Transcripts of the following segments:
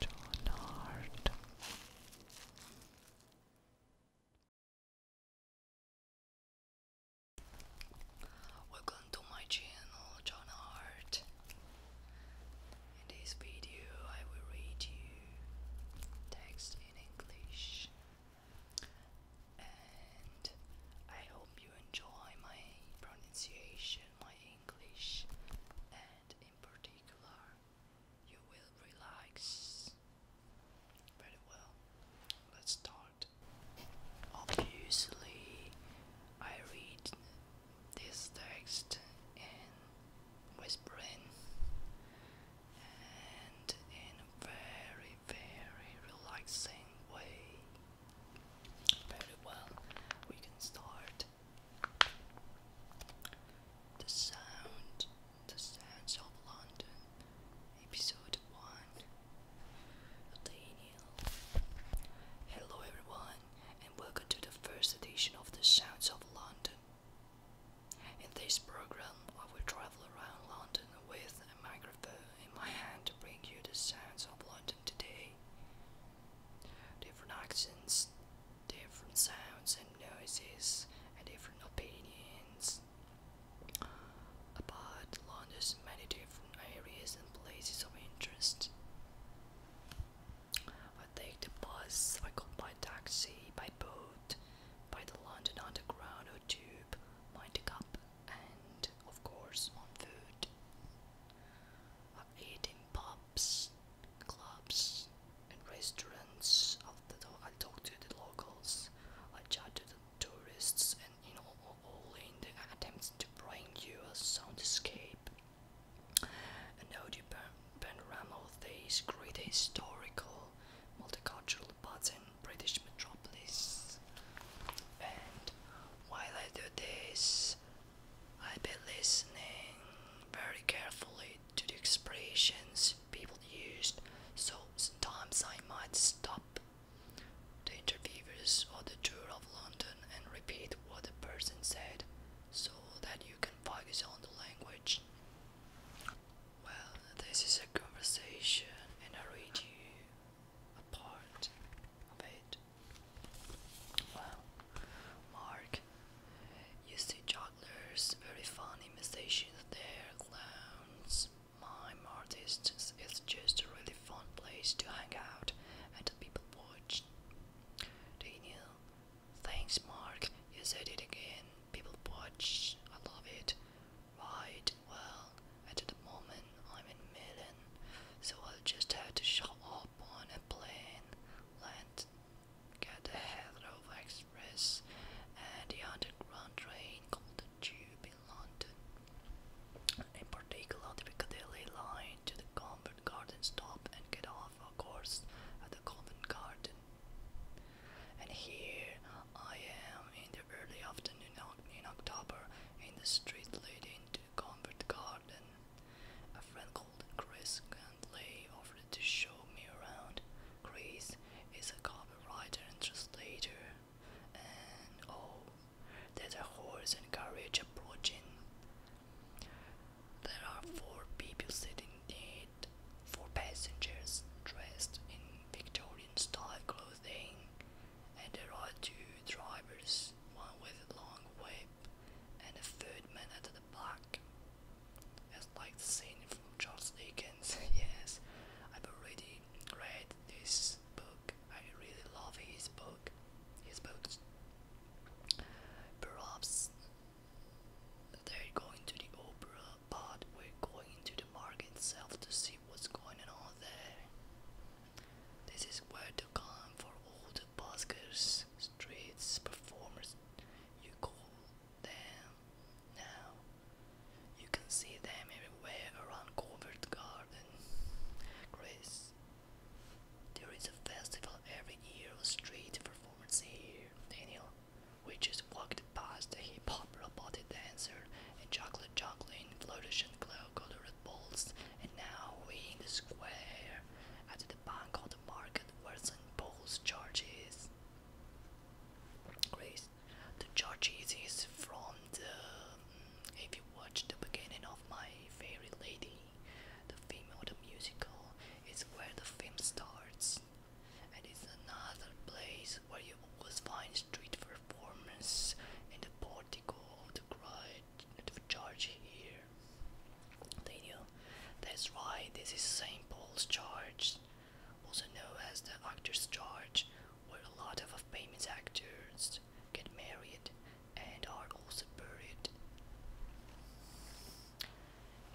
Donard. Welcome to my channel, John Hart. In this video, I will read you text in English, and I hope you enjoy my pronunciation, my English, and in particular, you will relax. Very well, let's start. Obviously, I read this text in whispering and in a very, very relaxing way. Very well, we can start. The Sound, The Sounds of London, Episode 1. Daniel. Hello, everyone, and welcome to the first edition of The Sounds of London. In this program, I will travel around London with a microphone in my hand to bring you the sounds of London today. Different accents, different sounds and noises, and different opinions about London's many different areas and places of interest. I take the bus, I go by taxi, by boat, by the London Underground or tube, by the campus and of course on food. I've eaten pubs, clubs, and restaurants. I talk to the locals, I chat to the tourists, and you know, all in the attempts to bring you a sound soundscape. An audio panorama of these great historical multicultural pattern British metropolis. And while I do this, I've been listening very carefully to the expressions people used, so sometimes I might stop the interviewers or the tour of London and repeat what the person said so that you can focus on the language. Well, this is a conversation, and I read you a part of it. Well, Mark, you see jugglers, very funny musicians there, clowns, mime artists. It's just a really fun place to hang out and people watch. Daniel, thanks, Mark. You said it again. People watch. I love it. Right, well, at the moment I'm in Milan, so I'll just have to shut up on a plane, land, get the Heathrow Express and the underground train called the Tube in London. In particular, the Piccadilly line to the Covent Garden stop and get off, of course, at the Covent Garden. And here I am in the early afternoon in October in the street leading to the Convent Garden. A friend called Chris and Gandley offered to show me around. Chris is a copywriter and translator, and oh, there's a horse and carriage approaching. There are four people sitting in it, four passengers dressed in Victorian style clothing and there are two drivers, one with a long whip and a third man at the back. As like the scene from Charles Dickens, yes, I've already read this book. I really love his book, his books. Perhaps they're going to the opera, but we're going to the market itself to see what's going on there. This is where to come for all the buskers, streets, performers, you call them now. You can see them everywhere around Covert Garden. Chris, there is a festival every year of street performance here, Daniel. We just walked past a hip hop robotic dancer and Chocolate Jocelyn, Flourish and Glow, Colored Balls, and now we in the square at the bank of the market where St. Paul's Church is. Grace, the church is from the. Mm, if you watch the beginning of My Fairy Lady, the film of the musical is where the film starts, and it's another place where you always find street performance in the portico of the cried the church here. They That's right, this is St. Paul's Church, also known as the Actors' Church, where a lot of famous actors get married and are also buried.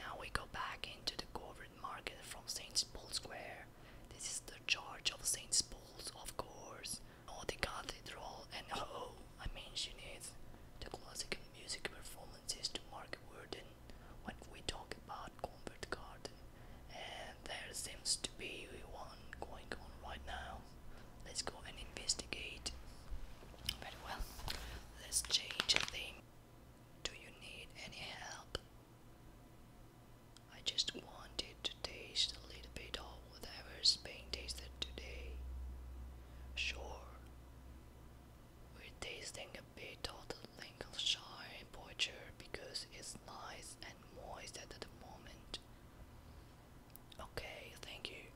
Now we go back into the covered market from St. Paul's Square. This is the Church of St. Paul's, of course. or the cathedral, and oh, I mentioned it. The classical music performances to Mark Worden when we talk about Convert Garden. And there seems to be one going on right now. Let's go and investigate. But well. Let's change the thing. Do you need any help? I just wanted to taste a little bit of whatever's being tasted today. Sure, we're tasting a bit of the Lincolnshire Butcher because it's nice and moist at the moment. Okay, thank you.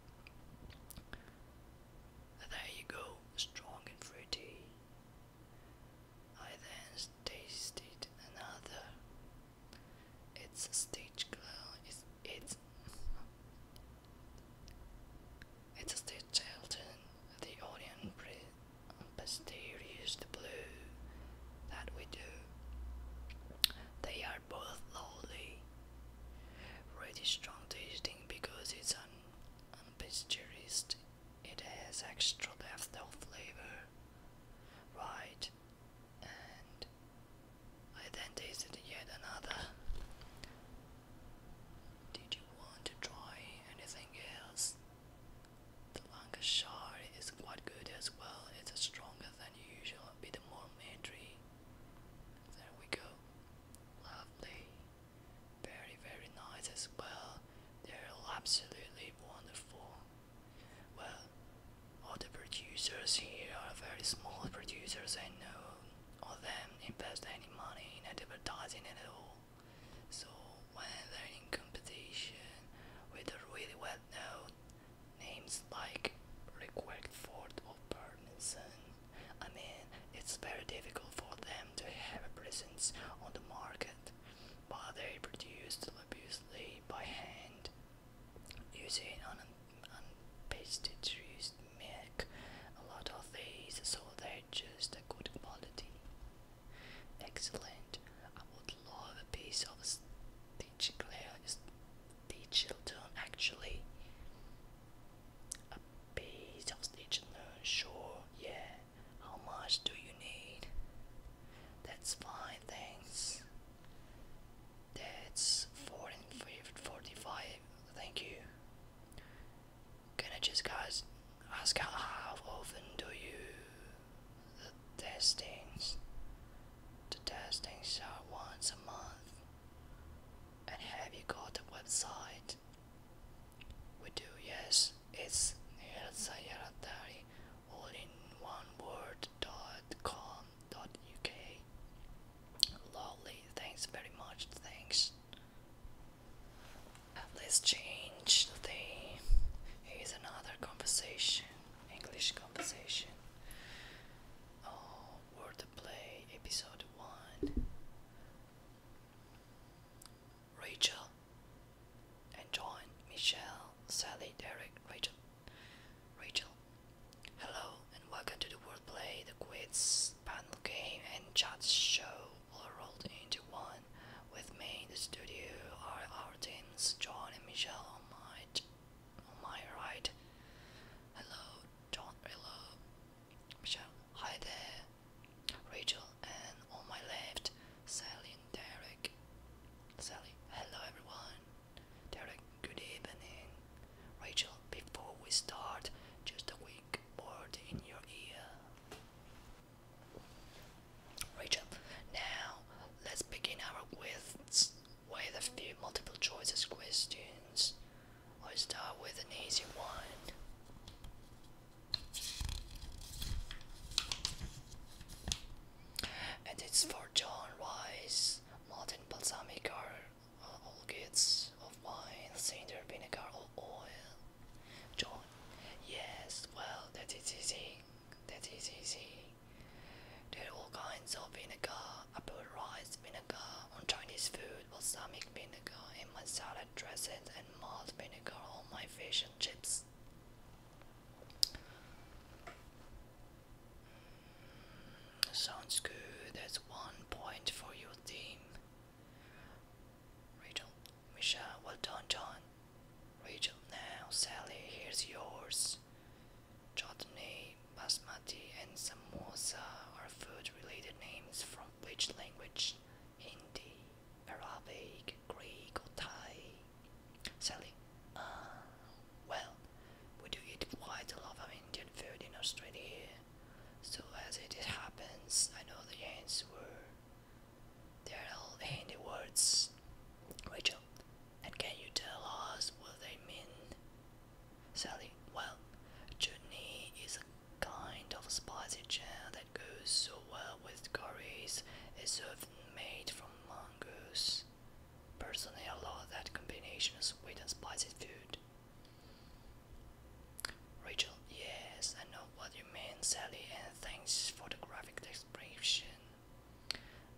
There you go, strong and fruity. I then tasted another. Its stage glow is it's it's a stage children. The audience onion mysterious blue that we do. They are both lovely, really strong tasting because it's an unpasteurized. It has extra depth of flavor right, and I then tasted yet another. Did you want to try anything else? The Lancashire is quite good as well, it's stronger than usual, a bit more military. There we go. Lovely. Very, very nice as well. They're absolutely wonderful. Well, all the producers here are very small producers and no of them invest any money in advertising at all. So when they're in competition with really well known names like Rickwick Ford or Bernson, I mean it's very difficult for them to have a presence on the market but they produced laboriously by hand using un unpasteurized milk. A lot of these, so they're just a good quality. Excellent. I would love a piece of stitch Stitchilton actually. A piece of stitch learn, sure, yeah. How much do you need? That's fine, thanks. That's forty-five. Thank you. Can I just guys ask how often do you test things? The testings are once a month. And have you got a website? We do, yes. It's is Herzayatari all one word dot com dot uk. Lovely, thanks very much, thanks. Uh, let's change the theme. Here's another conversation, English conversation. Oh, word episode one. Rachel, and John, Michelle, Sally, Derek, Rachel. Rachel, hello and welcome to the Wordplay, the Quiz panel game and chat show all rolled into one. With me in the studio are our teams, John and Michelle on my, on my right. Hello, John, hello, Michelle. Hi there, Rachel and on my left, Sally and Derek. Sally, hello everyone. Derek, good evening. Rachel, before we start, just a quick word in your ear. Rachel, now let's begin our quiz with a few multiple choices questions. I'll start with an easy one. And it's for John Rice, modern Balsamic, uh, all kids of mine, Cinder Vinegar Oil. John, yes, well, that is easy. That is easy. There are all kinds of vinegar, apple rice vinegar on Chinese food, balsamic vinegar, in my salad red and malt vinegar on my fish and chips. Mm, sounds good. That's one point for your team. Rachel, Michelle, well done, John. Rachel, now Sally, here's yours. Chutney, basmati, and samosa are food-related names from which language? Hindi, Arabic, Greek, or Thai. Sally, uh, well, we do eat quite a lot of Indian food in Australia, so as it happens, I know the hints were. They are all Hindi words. Rachel, and can you tell us what they mean? Sally, well, chutney is kind of spicy jam that goes so well with curries is often made from mangoes. Personally, I love that combination of sweet and spicy food. Rachel, yes, I know what you mean, Sally, and thanks for the graphic description.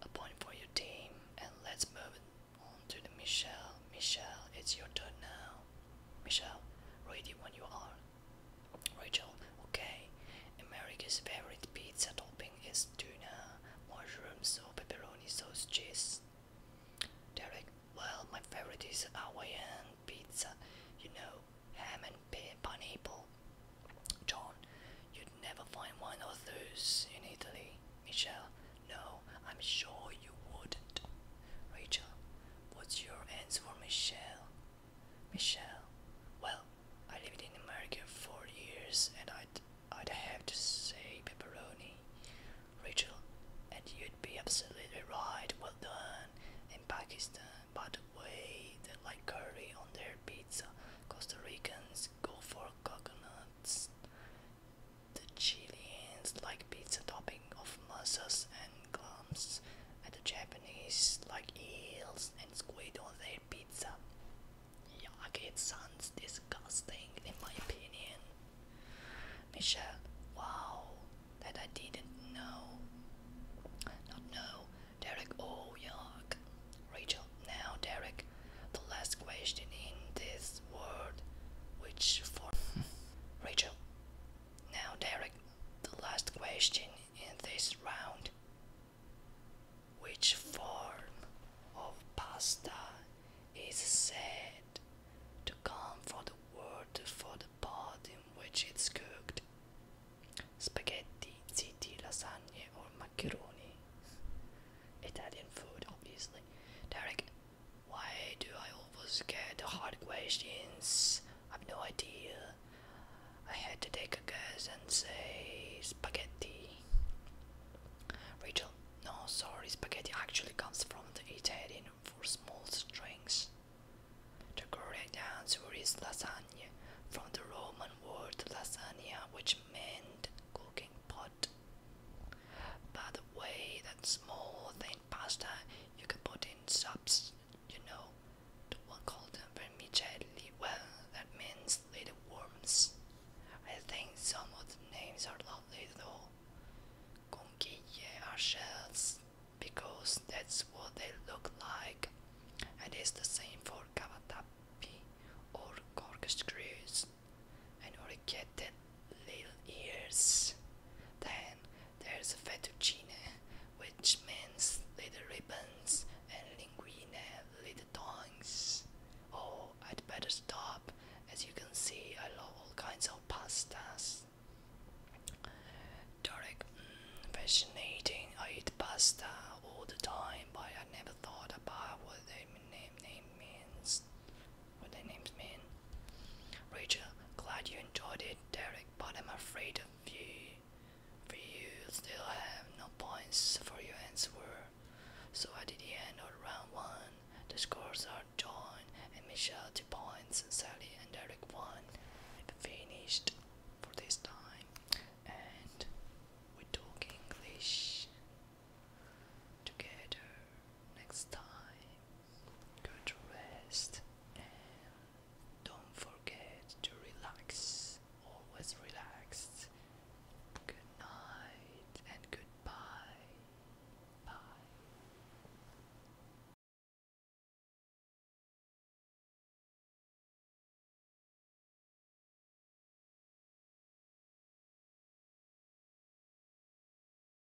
A point for your team, and let's move on to the Michelle. Michelle, it's your turn now. Michelle, ready when you are. Rachel, okay. America's favorite pizza topping is tuna, mushroom or pepperoni sauce, cheese. Derek, well, my favorite is Hawaiian pizza, you know, ham and pineapple. John, you'd never find one of those in Italy. Michelle, no, I'm sure you wouldn't. Rachel, What's your answer, Michelle? Michelle, well, I lived in America for years and I'd, I'd have to say pepperoni. Rachel, and you'd be absolutely right, well done. In Pakistan, but the way, they like curry on their pizza. Costa Ricans go for coconuts. The Chileans like pizza topping of mussels and clams at the Japanese like eels and squid on their pizza. Yuck, it sounds disgusting in my opinion. Michelle, wow, that I didn't know. Not know. Derek, oh yuck. Rachel, now Derek, the last question in this world, which for Rachel, now, Derek, the last question in this round. Which form of pasta is said to come from the word for the pot in which it's cooked? Spaghetti, ziti, lasagne, or macaroni? Italian food, obviously. Derek, why do I always get the hard questions? I've no idea. I had to take a guess and say spaghetti. Rachel, no, sorry, spaghetti actually comes from the Italian for small strings. The correct answer is lasagne, from the Roman word lasania, which meant cooking pot. By the way, that small thin pasta you can put in. Italian you know, the one them vermicelli. Well, that means little worms. I think some of the names are lovely though. Conchiglie are shells because that's what they look like. And it's the same for cavatappi or corkscrews. And orchette little ears. Then there's fettuccine, which means little ribbons, and linguine, little tongues. Oh, I'd better stop. As you can see, I love all kinds of pastas. Derek, mm, fascinating. I eat pasta all the time, but I never thought about what the name, name means what their names mean. Rachel, glad you enjoyed it, Derek, but I'm afraid of you. For you still have no points for your answer. So at the end of round one, the scores are John and Michelle two points, Sally and Derek one. finished for this time, and we talk English together next time. Go to rest and don't forget to relax. Always relaxed. Good night and goodbye. Bye.